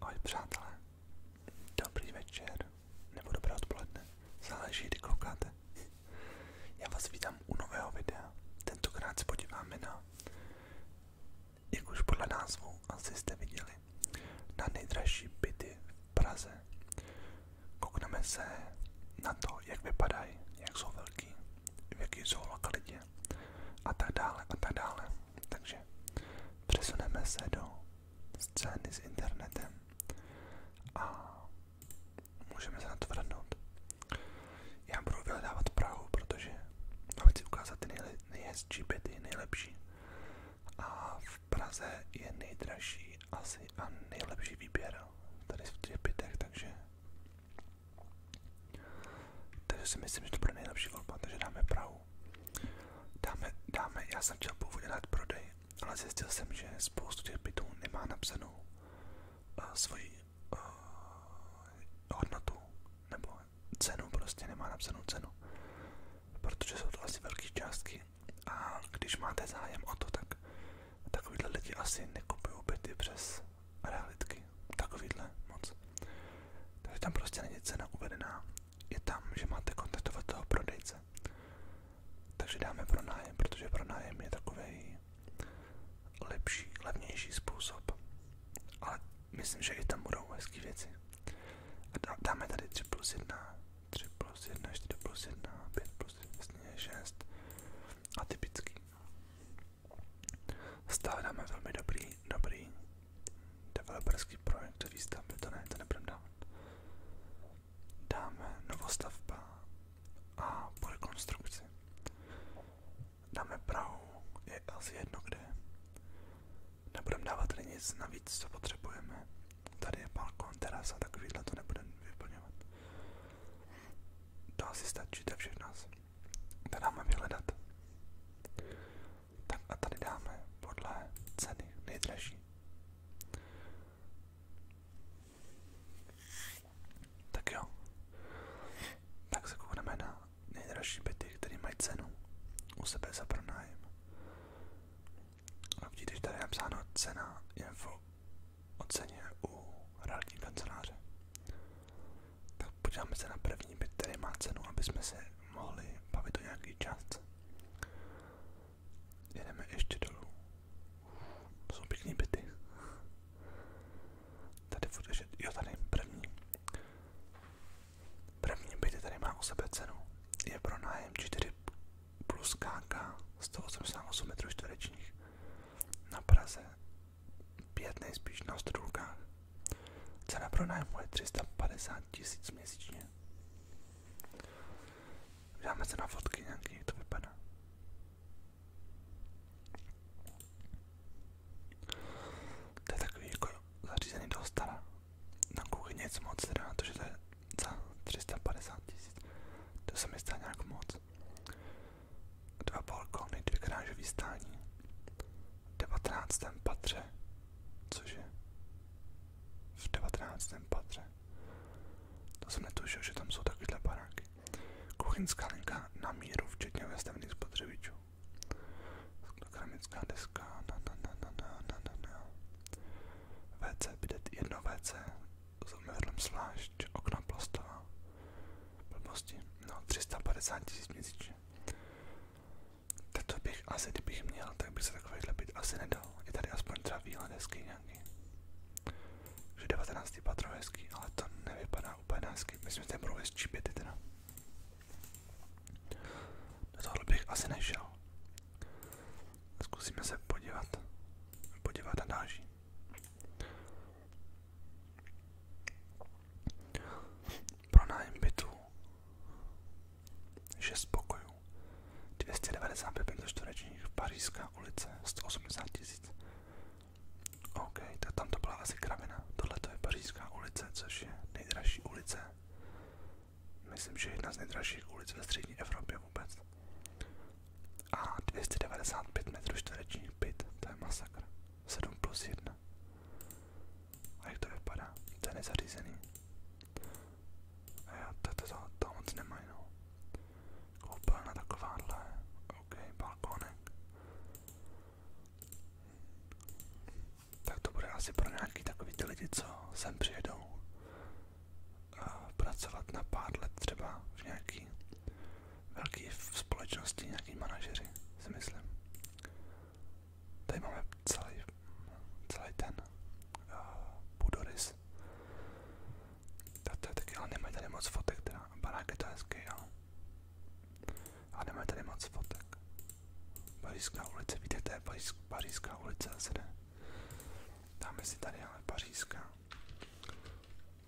Ahoj přátelé, dobrý večer nebo dobré odpoledne, záleží kdy koukáte. Já vás vítám u nového videa, tentokrát se podíváme na, jak už podle názvu asi jste viděli, na nejdražší byty v Praze. se na to, jak vypadají, jak jsou velký, v jaký zoolokalitě a tak dále a tak dále. Takže přesuneme se do scény s internetem a můžeme se na to vrhnout. Já budu vyhledávat Prahu, protože mám chci ukázat ty nejle, nejhezčí byty, nejlepší. A v Praze je nejdražší asi a nejlepší výběr tady v těch bytech, takže takže si myslím, že to bude nejlepší volba, takže dáme Prahu. Dáme, dáme, já jsem chtěl původně dát prodej, ale zjistil jsem, že spoustu těch bytů nemá napsanou uh, svoji uh, hodnotu, nebo cenu, prostě nemá napsanou cenu, protože jsou to asi velké částky a když máte zájem o to, tak takovýhle lidi asi nekupují byty přes realitky, takovýhle moc. Takže tam prostě není cena uvedená. Je tam, že máte kontaktovat toho prodejce. Takže dáme pronájem, protože pronájem je takový lepší, levnější způsob. Ale myslím, že i tam budou hezké věci. A dáme tady 3 plus 1, 3 plus 1, 4 plus 1, 5 plus 1, 6 a typický. Stále dáme velmi dobrý, dobrý developerský projekt výstavby, to ne, to nebudeme dávat. Dáme novostavba a po rekonstrukci. Dáme Prahu, je asi jedno kde. Nebudeme dávat nic navíc, co potřebujeme. Tady je balkon, terasa, takovýhle to nebudeme vyplňovat. To asi stačí, to všechno. To dáme vyhledat. Tak a tady dáme podle ceny nejdražší. Tak jo. Tak se koukneme na nejdražší byty, které mají cenu u sebe za pronájem. A vidíte, že tady je napsáno cena info o u realitní kanceláře. Tak podíváme se na první byt, který má se mohli bavit o nějaký částce. Jedeme ještě dolů. jsou pěkný byty. Tady furt ještě, jo tady první. První byty tady má o sebe Je pro nájem 4 plus KK 188 m čtverečních na Praze pět nejspíš na strůlkách. Cena pronájmu je 350 tisíc měsíčně. Dáme se na fotky nějaký, jak to vypadá. To je takový jako zařízený dostara. Na kuchyni nic moc, teda na to, že to je za 350 tisíc. To se mi zdá nějak moc dva balkony, dvě krážový stání. V 19. patře, cože? V devatenáctém patře. To jsem netušil, že tam jsou takovéhle baráky. Kuchyňská linka na míru, včetně vestavných spotřebičů. Keramická deska, na na na na na na na na. WC, jedno WC, zamrzlém slášť, okna plastová. Blbosti, no 350 tisíc měsíčně. Tak to bych asi, kdybych měl, tak bych se takovýhle byt asi nedal. Je tady aspoň třeba výhled hezký nějaký. Že 19. patro hezký, ale to nevypadá úplně hezky. Myslím, že to budou hezčí byty teda. Do tohle bych asi nešel. Zkusíme se podívat, podívat na náží. Pronájem bytu 6 pokojů 295 metrů čtverečních Pařížská ulice 180 tisíc. OK, tak tam to byla asi kravina. Tohle to je Pařížská ulice, což je nejdražší ulice. Myslím, že jedna z nejdražších ulic ve střední Evropě vůbec a 295 metrů čtverečních byt, to je masakr. 7 plus 1. A jak to vypadá? To je nezařízený. A jo, to, to, to, to moc nemají, no. Koupelna takováhle, ok, balkónek. Tak to bude asi pro nějaký takový ty lidi, co sem přijedou. A eh, pracovat na pár let třeba v nějaký velký v společnosti, nějaký manažeři, si myslím. Tady máme celý, celý ten uh, eh, půdorys. To je taky, ale nemají tady moc fotek teda, barák je to hezký, jo. A nemají tady moc fotek. Pařížská ulice, víte, to je Pařížská ulice zase ne. Dáme si tady ale Pařížská.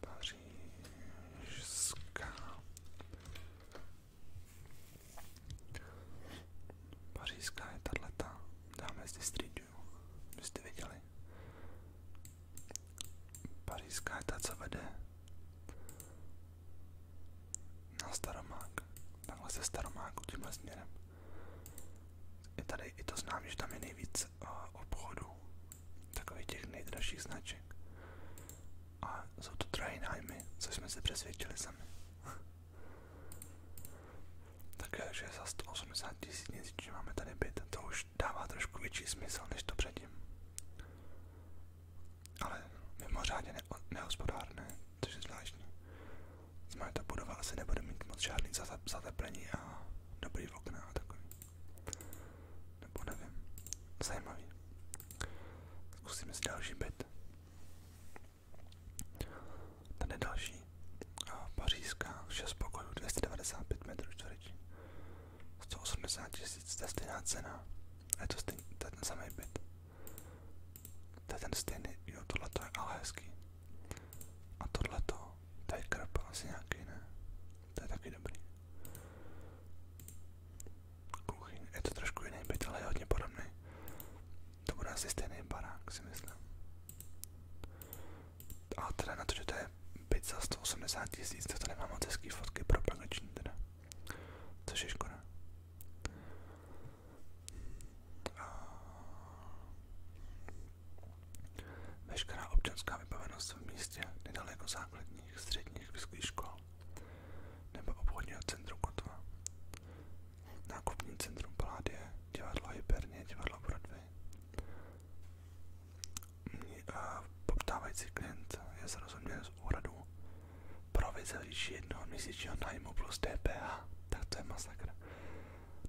Pařížská. Pařížská je tato. Dáme zde Street View. Byste viděli? Pařížská je ta, co vede na Staromák. Takhle se Staromáku tímhle směrem. I tady i to znám, že tam je nejvíc uh, obchodů takových těch nejdražších značek. A jsou to drahé nájmy, co jsme se přesvědčili sami. Takže eh, za 180 tisíc měsíčně máme tady byt, to už dává trošku větší smysl než to předtím. Ale mimořádně ne- nehospodárné, což je zvláštní. Znamená, ta budova asi nebude mít moc žádný zateplení a dobrý okna a takový. Nebo nevím. Zajímavý. Zkusíme si další byt. Tady je další. Pařížská 6 pokojů 295 metrů čtvereční. 180 tisíc, to je stejná cena. A je to, stejný, to je ten samý byt. To je ten stejný, jo, tohle to je ale hezký. A tohle to, je krp, asi nějaký, ne? To je taky dobrý. Kuchyň, je to trošku jiný byt, ale je hodně podobný. To bude asi stejný barák, si myslím. A teda na to, že to je byt za 180 tisíc, to tady mám moc hezký fotky propagační teda. Což je škoda. A... Veškerá občanská vybavenost v místě nedaleko základních středních vysokých škol nebo obchodního centru Kotva. Nákupní centrum Paládie, divadlo Hypernie, divadlo Broadway. Poptávající klient je zrozuměn z úhradu provize výši jednoho měsíčního nájmu plus DPH. Tak to je masakr.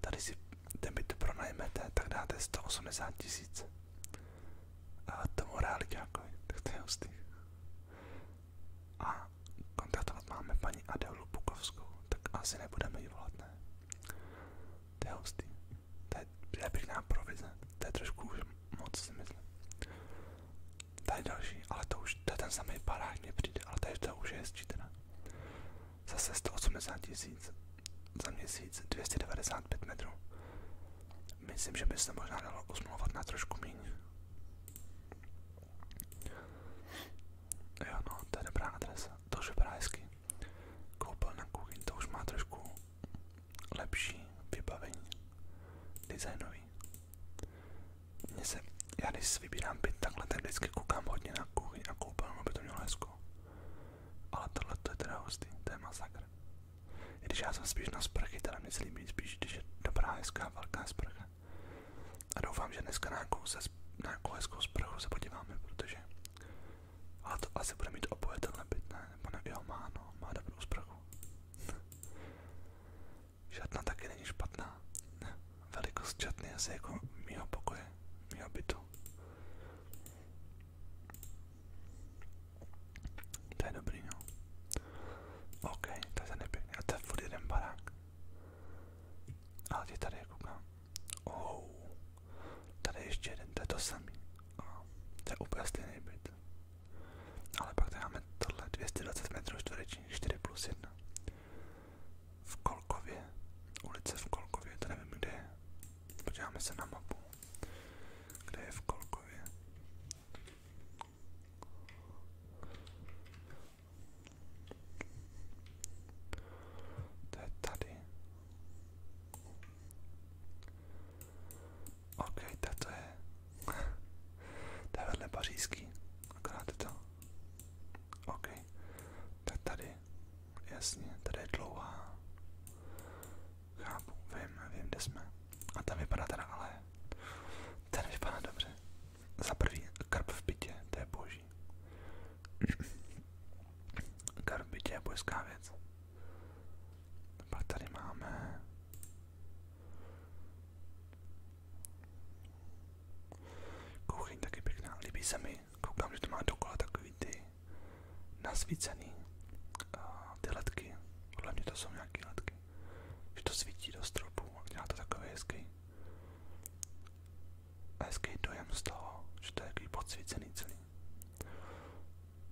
Tady si ten byt pronajmete, tak dáte 180 tisíc. A to tomu realitákovi, tak to je hustý. A kontaktovat máme paní Adelu Bukovskou, tak asi nebudeme jí volat, ne? To je hustý. To je, pěkná provize, to je trošku už moc si myslím. Tady další, ale to už, to je ten samý barák, mě přijde, ale tady to už je hezčí teda. Zase 180 tisíc za měsíc 295 metrů. Myslím, že by se možná dalo usmluvat na trošku méně. Jo no, to je dobrá adresa, to už vypadá hezky. Koupel na kuchyň, to už má trošku lepší vybavení, designový. Mně se, já když si vybírám byt takhle, tak vždycky koukám hodně na kuchyň a koupelnu, aby to mělo hezko. Ale tohle to je teda hustý, to je masakr. I když já jsem spíš na sprchy, teda mě se líbí spíš, když je dobrá, hezká, velká sprcha. A doufám, že dneska na nějakou, se, na nějakou hezkou sprchu se podíváme, protože... Ale to asi bude mít oboje tenhle byt, ne? Nebo ne? Jo, má, no, má dobrou sprchu. Žádná taky není špatná. Velikost čatny asi jako mýho pokoje, mýho bytu. To je dobrý, no. OK, to je ten nepěkný. A to je furt jeden barák. Ale ty tady koukám. Oh, tady ještě jeden, to je to samý. Oh, to je úplně stejný byt. Ale pak tady máme tohle 220 metrů čtverečních, 4 plus 1. V Kolkově, ulice v Kolkově, to nevím kde je. Podíváme se na mapu, kde je v Kolkově. To je tady. OK, to je. to je vedle pařížský. Akorát je to. OK, tak tady Jasně, tady je dlouhá. Chápu, vím, vím, kde jsme. A ten vypadá teda ale... Ten vypadá dobře. Za prvý, karp v bytě, to je boží. karp v bytě je božská věc. Pak máme... Kuchyň taky pěkná, líbí se mi ty, koukám, že to má dokola takový ty nasvícený uh, ty letky, podle mě to jsou nějaké letky, že to svítí do stropu a dělá to takový hezký, hezký dojem z toho, že to je takový podsvícený celý.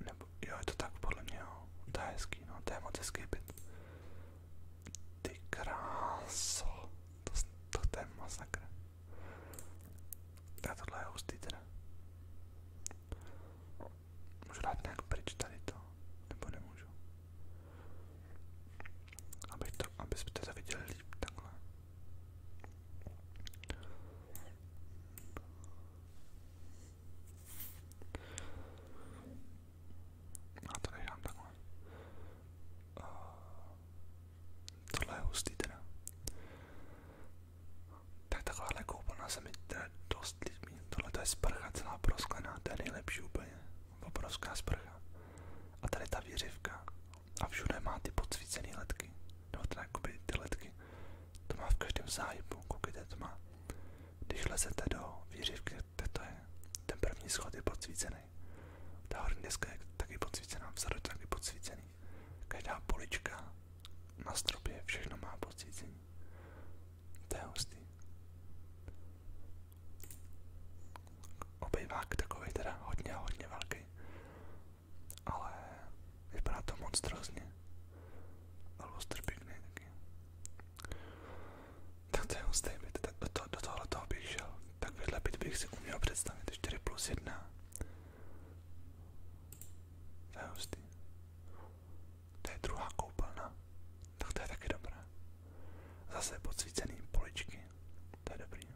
Nebo, jo, je to tak podle mě, jo. To je hezký, no, to je moc hezký byt. Ty kráso, to, to, to je masakr. A tohle je hustý teda. Můžu dát nějak pryč tady to, nebo nemůžu. Aby to, abyste teda viděli líp takhle. A to dám takhle. Uh, tohle je hustý teda. Tak takováhle koupelna se mi dost líbí. Tohle to je sprcha celá prosklená, je nejlepší úplně. Obrovská sprcha. A tady ta věřivka. A všude má ty podsvícené letky. Nebo teda jakoby ty letky. To má v každém záhybu, koukejte, to má. Když lezete do věřivky, to je. Ten první schod je podsvícený. Ta horní deska je taky podsvícená, vzadu je taky podsvícený. Každá polička na stropě všechno má pocícení. To je hustý. Obejvák takový teda hodně, a hodně velký. Ale vypadá to monstrozně. A lustr pěkný taky. Tak to je hustý byt. Do, to, do tohle toho bych šel. Tak byt bych si uměl představit. plus 1. To je hustý. To je druhá koupelna. Tak to je taky dobré. Zase podsvícený poličky. To je dobrý.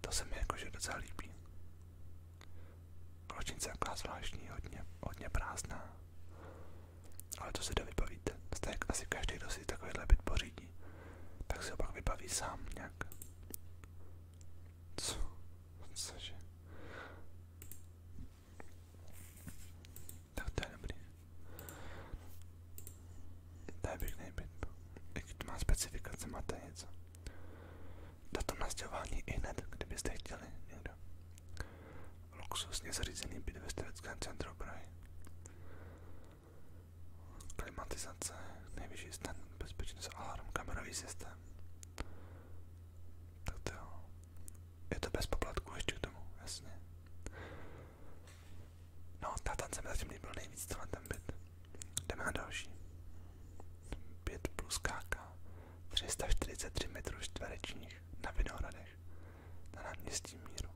To se mi jakože docela líbí. Kločnice taková zvláštní, hodně, hodně prázdná. Ale to si jde vybavit. Stejně jako asi každý, kdo si takovýhle byt pořídí, tak si ho pak vybaví sám nějak. Co? Cože? Tak to je dobrý. To je pěkný byt. Jaký to má specifikace, máte něco. Datum na stěhování i hned, kdybyste chtěli někdo. Luxusně zařízený byt ve Steveckém centru Prahy klimatizace, nejvyšší stan, bezpečnost, alarm, kamerový systém. Tak to jo. Je to bez poplatku ještě k tomu, jasně. No, tátan se mi zatím líbil nejvíc tohle ten byt. Jdeme na další. 5 plus KK, 343 metrů čtverečních na Vinohradech, na náměstí Míru.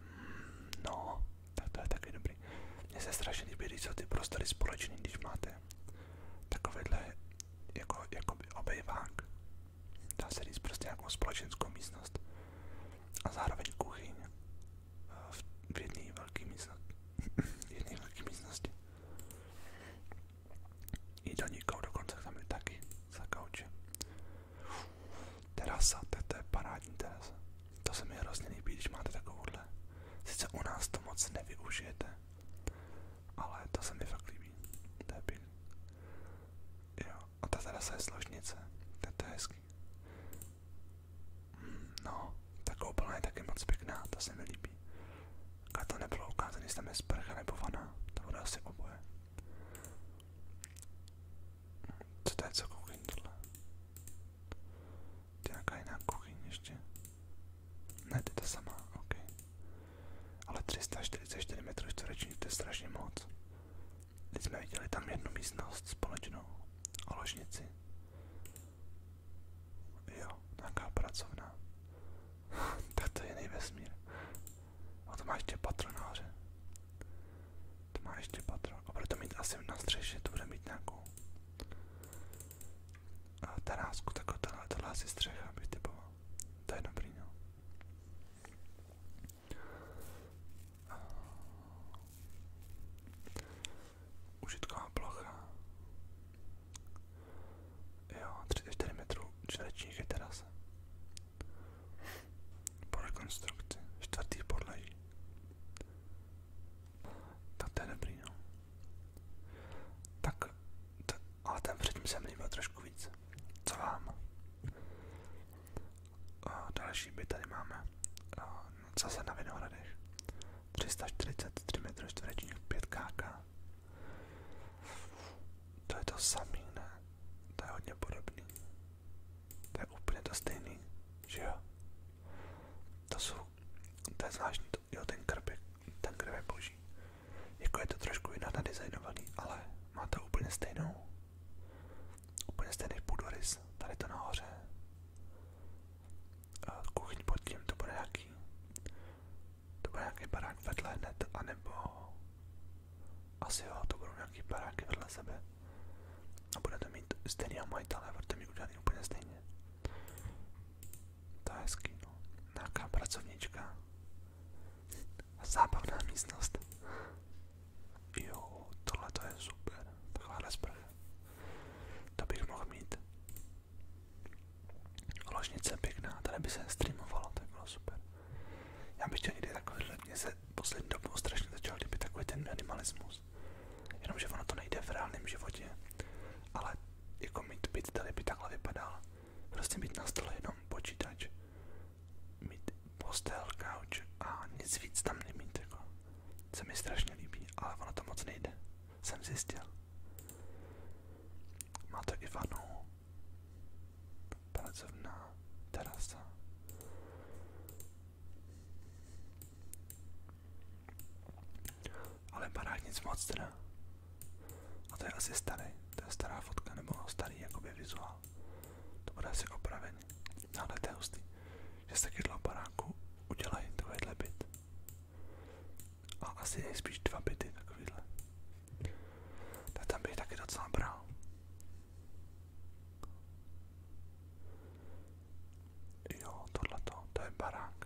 Hmm, no, tak to je taky dobrý. Mně se strašně líbí, když jsou ty prostory společný, když máte takovýhle jako, jako obejvák. Dá se říct prostě nějakou společenskou místnost a zároveň kuchyň eh, v jedné velké místnosti. jedné velké místnosti. I do nikou dokonce tam je taky za kauče. Terasa, to je parádní terasa. To se mi hrozně líbí, když máte takovouhle. Sice u nás to moc nevyužijete, ale to se mi fakt líbí. To je pěkný. Jo, a ta teda se je složnice. To je hezký. Hmm, no, tak koupelna je taky moc pěkná, to se mi líbí. A to nebylo ukázané, jestli tam je sprcha nebo vana, to bude asi oboje. Co to je, co koukám to je nějaká ještě. Ne, sama, ok. Ale 344 metrů čtvereční, to je strašně moc. Teď viděli tam jednu společnou, o Jo, nějaká pracovna. tak je jiný vesmír. A to má ještě To má ještě patro večer a bude to mít asi na střeše, to bude mít nějakou a terásku, tak tohle, tohle asi střecha bych typoval. To je dobrý, no. A... Užitková plocha. Jo, 34 metrů čtverečních je terasa. Po rekonstrukci, čtvrtý podlaží. Tak to je dobrý, no. Tak, t- ale ten předtím se mi líbil trošku víc. Co vám? A další by tady máme. A zase na Vinohradech. 343 m čtverečních 5 kk. To je to samý, ne? To je hodně podobný je úplně stejný, jo? To jsou, to je zvláštní, to, ten krb ten krb boží. Jako je to trošku jinak nadizajnovaný, ale má to úplně stejnou, úplně stejný půdorys, tady to nahoře. A kuchyň pod tím, to bude nějaký, to barák vedle hned, anebo asi jo, to budou nějaký baráky vedle sebe. A to mít stejného majitele, bude to mít udělaný úplně stejně. To je hezký, no. Nějaká Zábavná místnost. Jo, tohle to je super. Takováhle sprcha. To bych mohl mít. Ložnice pěkná, tady by se to bylo super. Já bych chtěl někdy takovýhle, mě se poslední dobou strašně začal líbit takový ten minimalismus mechanismus. Jenomže ono to nejde v reálném životě, ale jako mít byt tady by takhle vypadal. Prostě mít na stole jenom počítač, mít postel, couch a nic víc tam nemít. Jako. Se mi strašně líbí, ale ono to moc nejde. Jsem zjistil. Má to i vanu, pracovná terasa. Ale barák nic moc teda. A to je asi starý, to je stará fotka, nebo starý jakoby vizuál. To bude asi opravený. No, ale to je hustý, že z taky baráku udělají takovýhle byt. A asi nejspíš dva byty takovýhle. Tak tam bych taky docela brál. Jo, tohleto, to je barák.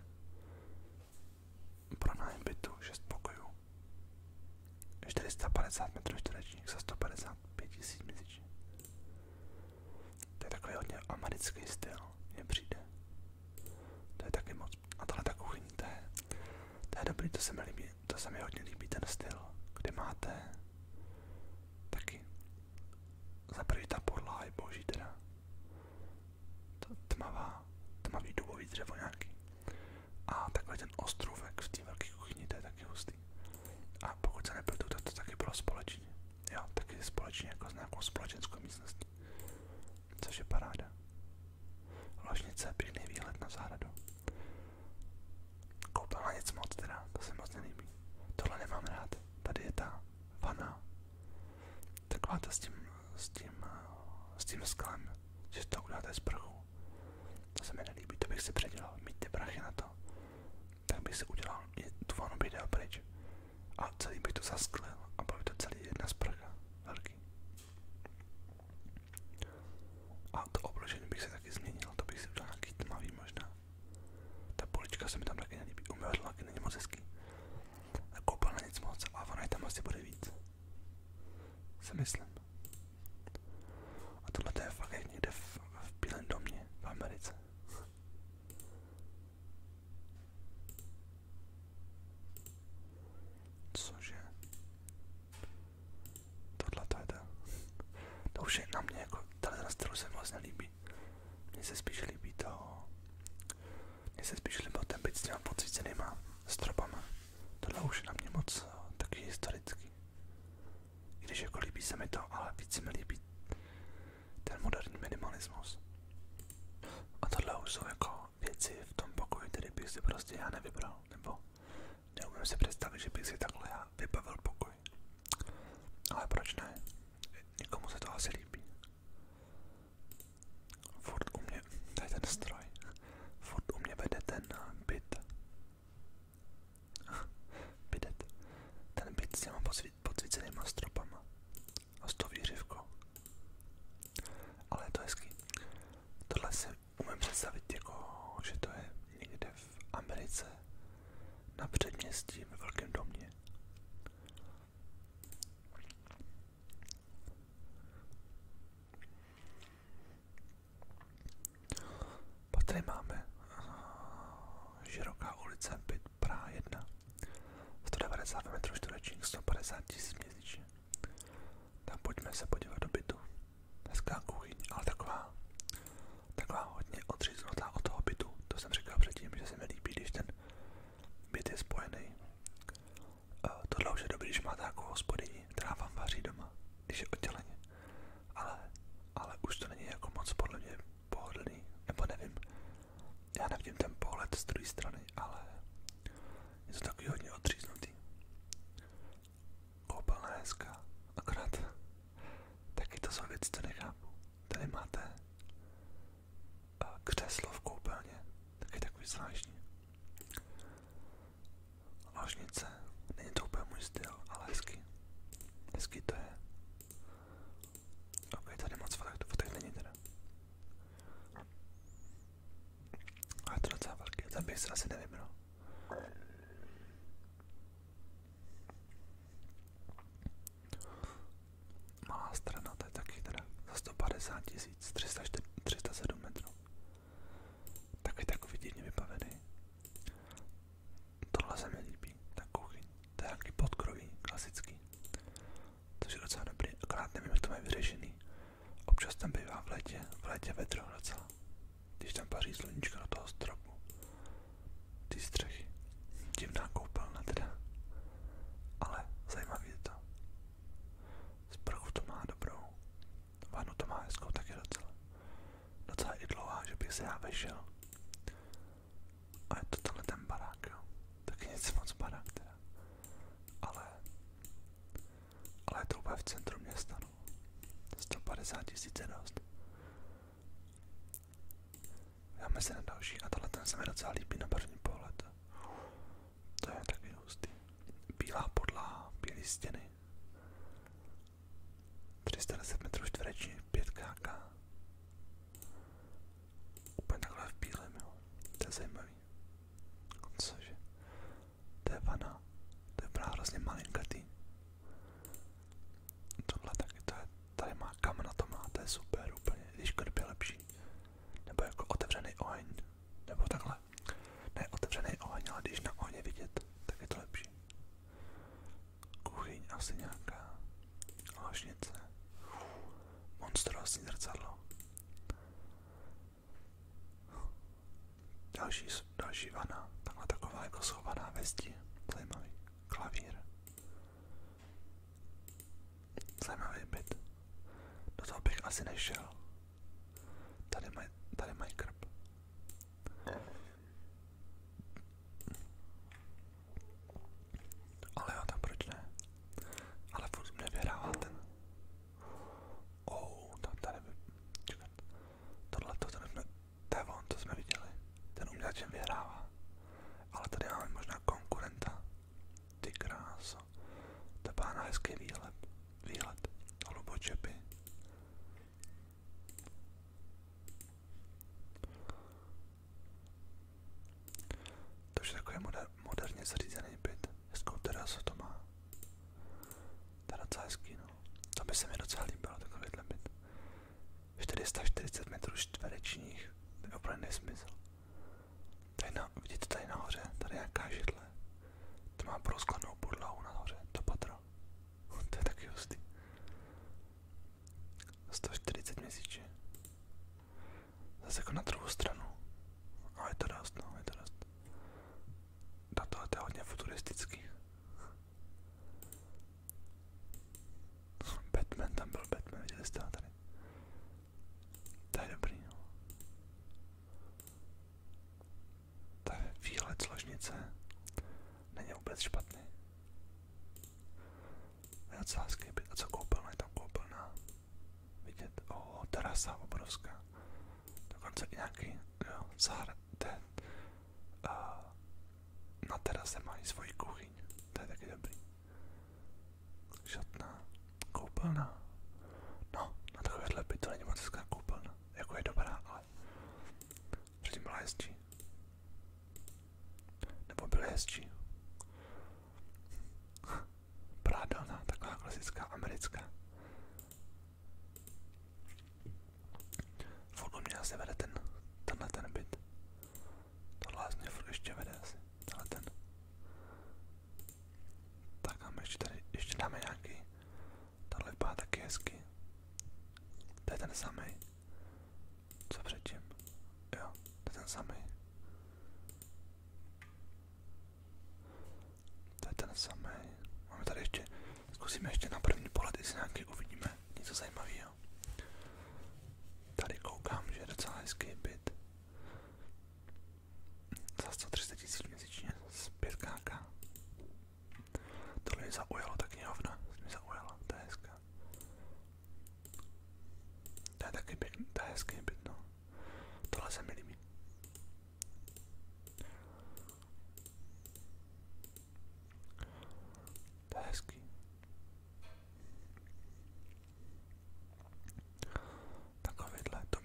Pronájem bytu 6 pokojů. 450 metrů čtverečních za 155 tisíc měsíčně. To je takový hodně americký styl, mně přijde. To je taky moc. A tohle ta kuchyň, to je, to je dobrý, to se mi líbí, to se mi hodně líbí ten styl, kde máte taky za prvý ta podlaha je boží teda. Ta tmavá, tmavý dubový dřevo nějaký. A takový ten ostrůvek v té velké kuchyni, to je taky hustý. A pokud se nepletu, tak to taky bylo společně. Jo, taky je společně jako s nějakou společenskou místností. Což je paráda. Ložnice, pěkný výhled na zahradu. Koupila nic moc teda, to se moc nelíbí. Tohle nemám rád tady je ta vana, taková ta s tím, s tím, s tím sklem, že to uděláte z prchu. To se mi nelíbí, to bych si předělal, mít ty prachy na to. Tak bych si udělal, tu vanu bych dal pryč a celý bych to zasklil a byl by to celý jedna sprcha, velký. A to obložení bych se taky změnil, to bych si udělal nějaký tmavý možná. Ta polička se mi tam taky nelíbí, umyvadlo taky není moc hezký. A na nic moc, a ona tam asi bude víc. Se myslím. A tohle to je fakt jak někde v, v Bílém domě v Americe. Cože? Tohle to je To už je na mě jako, tahle ten styl se mi vlastně líbí líbí. Mně se to... Mně se spíš ten byt s těma pocícenýma stropama. Tohle už na mě moc eh, taky historický. I když jako líbí se to, ale víc se mi ten moderní minimalismus. A tohle už jsou jako věci v tom pokoji, které bych si prostě já nevybral, nebo neumím si představit, že bych si takhle já vybavil pokud pokoj. Ale proč ne? Nikomu se to asi líbí. Furt u mě, ten stroj, furt u vede ten eh, byt. Bydet. Ten byt s těma podsvícenýma stropama. A s tou výřivkou. Ale je to hezký. Tohle si jako, že to je někde v Americe na předměstí ve velkém domě. Pak tady máme eh, široká ulice byt Praha 1, 190 m čtverečních, 150 tisíc měsíčně. Tam pojďme se podívat do bytu. Hezká kuchyň, ale taková Taková hodně odříznutá od toho bytu. To jsem říkal předtím, že se mi líbí, když ten byt je spojený. Uh, tohle už je dobrý, když máte takovou hospodyni, která vám vaří doma, když je odděleně. Ale, ale už to není jako moc podle mě pohodlný, nebo nevím. Já nevidím ten pohled z druhé strany, ale je to takový hodně odříznutý. Koupelna hezká, akorát taky to jsou věci, co nechápu. Tady máte křeslo v koupelně, taky takový zvláštní. Ložnice, není to úplně můj styl, ale hezký. Hezký to je. Ok, tady moc fotek, fotek není teda. Ale je to docela velký, ten bych si asi nevybral. Malá strana, to je taky teda za 150 tisíc, 307 metrů. Taky takový divně vybavený. Tohle se mi líbí, ta kuchyň. To je nějaký podkroví, klasický. Což je docela dobrý, akorát nevím, jak to mají vyřešený. Občas tam bývá v létě, v létě vedro docela. Když tam paří sluníčko do toho stropu ty střechy. Divná koupelna teda, ale zajímavý je to. Sprchu to má dobrou, vanu to má hezkou taky docela. Docela i dlouhá, že bych se já vešel. A je to tenhle ten barák, jo. Taky nic moc barák teda. Ale, ale je to úplně v centru města, no. 150 tisíc je dost. Dáme se na další a tohle ten se mi docela líbí na první pohled. To je taky hustý. Bílá podlaha, bílé stěny. 310 metrů čtverečních, 5 kk. Úplně takhle v bílém, jo. To je zajímavý. Cože? To je vana. To je právě hrozně malinkatý. Tohle taky, to je, tady má kamna to má, to je super úplně, když krb je lepší. Nebo jako otevřený oheň, nebo takhle. Ne oheň, ale když na ohně vidět, tak je to lepší. Kuchyň asi nějaká ložnice. Monstrózní zrcadlo. Další, další vana, takhle taková jako schovaná ve zdi, zajímavý klavír. Zajímavý byt. Do toho bych asi nešel. Tady mají tady maj krb. Ale jo, tam proč ne? Ale furt mě vyhrává ten. Oh, tam tady by... Čekat. Tohle to tady by mě to je on, co jsme viděli. Ten umělačem vyhrává. Ale tady máme možná konkurenta. Ty kráso. To má na hezký výhled. Výhled. Hlubočepy. To je takový moder, moderně zřízený byt. Hezkou terasu to má. To je docela hezký, no. To by se mi docela líbilo, takovýhle byt. 440 metrů čtverečních. To je opravdu nesmysl. Tady na, vidíte tady nahoře, tady nějaká židle. To má prosklenou podlahu nahoře, to patro. to je taky hustý. 140 měsíčně. Zase jako na druhou stranu. A je to dost, no, je to dost. Na tohle je hodně futuristický. Batman, tam byl Batman, viděli jste ho tady. To je dobrý, no. To je výhled složnice. Není vůbec špatný. Je docela hezký byt. A co koupelna? Je tam koupelna. Vidět, o, terasa obrovská. Dokonce i nějaký, jo, zahrad, na no terase mají svoji kuchyň, to je taky dobrý. Šatná, koupelna, no na takovéhle by to není moc hezká koupelna, jako je dobrá, ale předtím byla hezčí. Nebo byly hezčí. Prádelná, taková klasická americká. Furt mě asi vede ten, tenhle ten byt. Tohle mě furt ještě vede asi, ten. Tak a tady, ještě dáme nějaký. Tohle vypadá taky hezky. To ten samý. Co předtím? Jo, to ten samý. To ten samý. Máme tady ještě, zkusíme ještě na první pohled, jestli nějaký uvidíme něco zajímavého měl. Tady koukám, že je docela hezký byt. Za 130 tisíc měsíčně z 5KK. Tohle mě zaujalo, ta knihovna mě zaujala, to je hezká. To je taky pěkný, to je hezký byt, no. Tohle se mi líbí. To je to...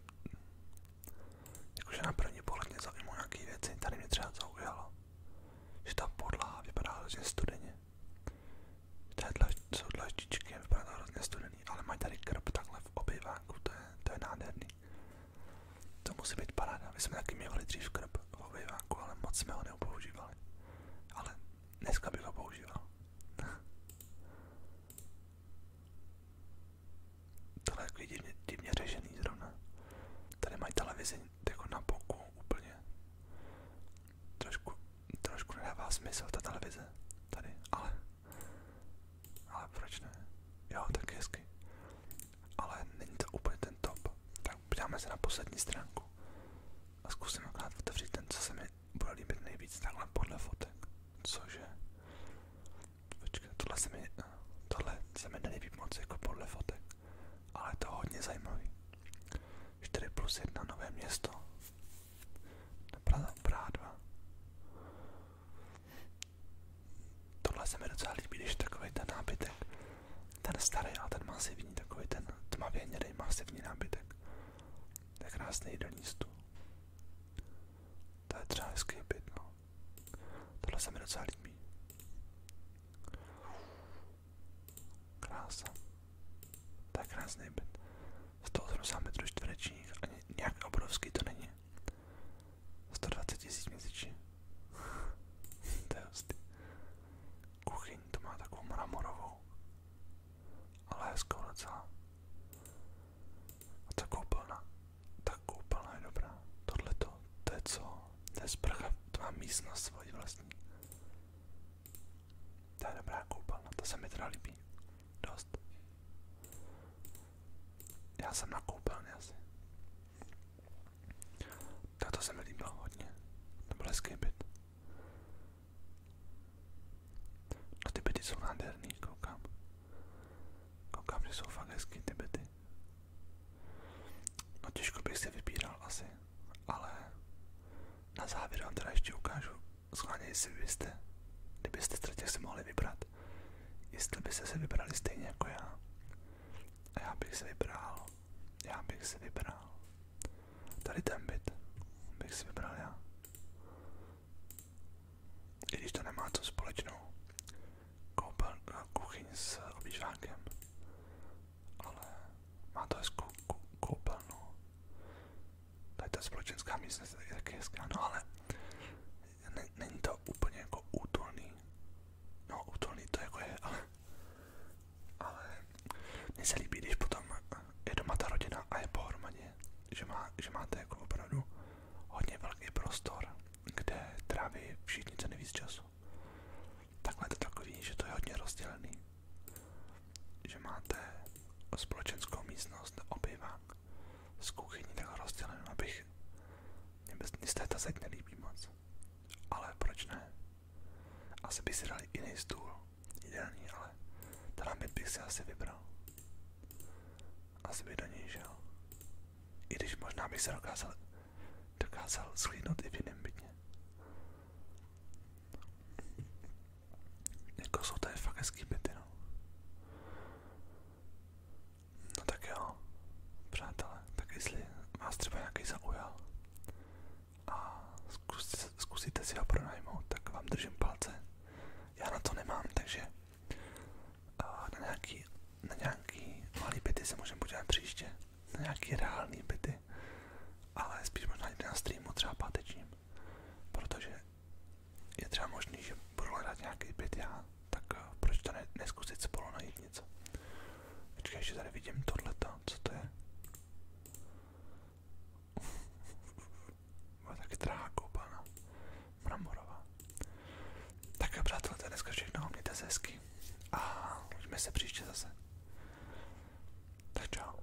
Jakože na první pohled mě zajímou nějaký věci, tady mě třeba zaujalo, že ta podlaha vypadá hrozně studeně. To je dlaž, jsou dlaždičky, vypadá to hrozně studený, ale mají tady krb takhle v obýváku, to je, to je nádherný. To musí být paráda, my jsme taky měli dřív krb obýváku, ale moc jsme ho neupoužívali. Ale dneska bych ho používal. Tohle je takový divně, divně řešený zrovna. Tady mají televizi jako na boku úplně. Trošku, trošku nedává smysl ta televize tady, ale ale proč ne? Jo, tak hezky ale není to úplně ten top. Tak podíváme se na poslední stránku a zkusím akorát otevřít ten, co se mi bude líbit nejvíc, takhle podle fotek. Cože? Počkej, tohle se mi, tohle se mi nelíbí moc jako podle fotek, ale je to hodně zajímavý. 4 plus 1 nové město. Praha, Praha 2. Tohle se mi docela líbí, když takový ten nábytek ten starý, ale ten masivní, takový ten tmavě hnědej masivní nábytek. tak krásný do stůl. To je třeba hezký byt, no. Tohle se mi docela líbí. Krása. To je krásný byt. 180 metrů čtverečních, ani nějak obrovský to není. 120 tisíc měsíčně. to je hustý kuchyň, to má takovou mramorovou, ale skoro docela. A ta koupelna, ta koupelna je dobrá. Tohle to, to je co? To je sprcha, to má místnost svoji vlastní. To je dobrá koupelna, to se mi teda líbí. Dost. Já jsem na koupelně asi. Tak to se mi líbilo hodně. To byl hezký byt. No ty byty jsou nádherný, koukám. Koukám, že jsou fakt hezký ty byty. No těžko bych si vybíral asi, ale na závěr vám teda ještě ukážu, schválně jestli byste, kdybyste z si mohli vybrat, jestli byste se vybrali stejně jako já, já bych si vybral, já bych si vybral tady ten byt, bych si vybral já. I když to nemá co společnou, koupel, eh, kuchyň s obývákem, ale má to hezkou koupelnu. Tady ta společenská místnost je taky hezká, no ale ne, není to úplně jako útulný. No útulný to jako je, ale ale mně se líbí, když potom je doma ta rodina a je pohromadě, že, má, že máte jako opravdu hodně velký prostor, kde tráví všichni co nejvíc času. Takhle to takový, že to je hodně rozdělený, že máte společenskou místnost, obývák s kuchyní tak rozdělenou, abych, mně se ta zeď nelíbí moc, ale proč ne? Asi by si dali jiný stůl, ideální, ale ten námět bych si asi vybral. Asi by do něj žil. I když možná bych se dokázal, dokázal schlídnout i v jiném bytě. Jako jsou tady fakt hezký byty, no. No tak jo, přátelé, tak jestli vás třeba nějaký zaujal, a zkus, zkusíte si ho pronajmout, tak vám držím palce. Já na to nemám, takže na nějaký, na nějaký malý byty se můžeme podívat příště, na nějaký reální byty, ale spíš možná jde na streamu třeba pátečním, protože je třeba možný, že budu hledat nějaký byt já, tak eh, proč to ne, neskusit spolu najít něco. Počkej, že tady vidím tohleta, co to je? Má taky drahá koupelna. Mramorová. Tak jo, přátelé, to je dneska všechno. Mějte A uvidíme se příště zase. Tak čau.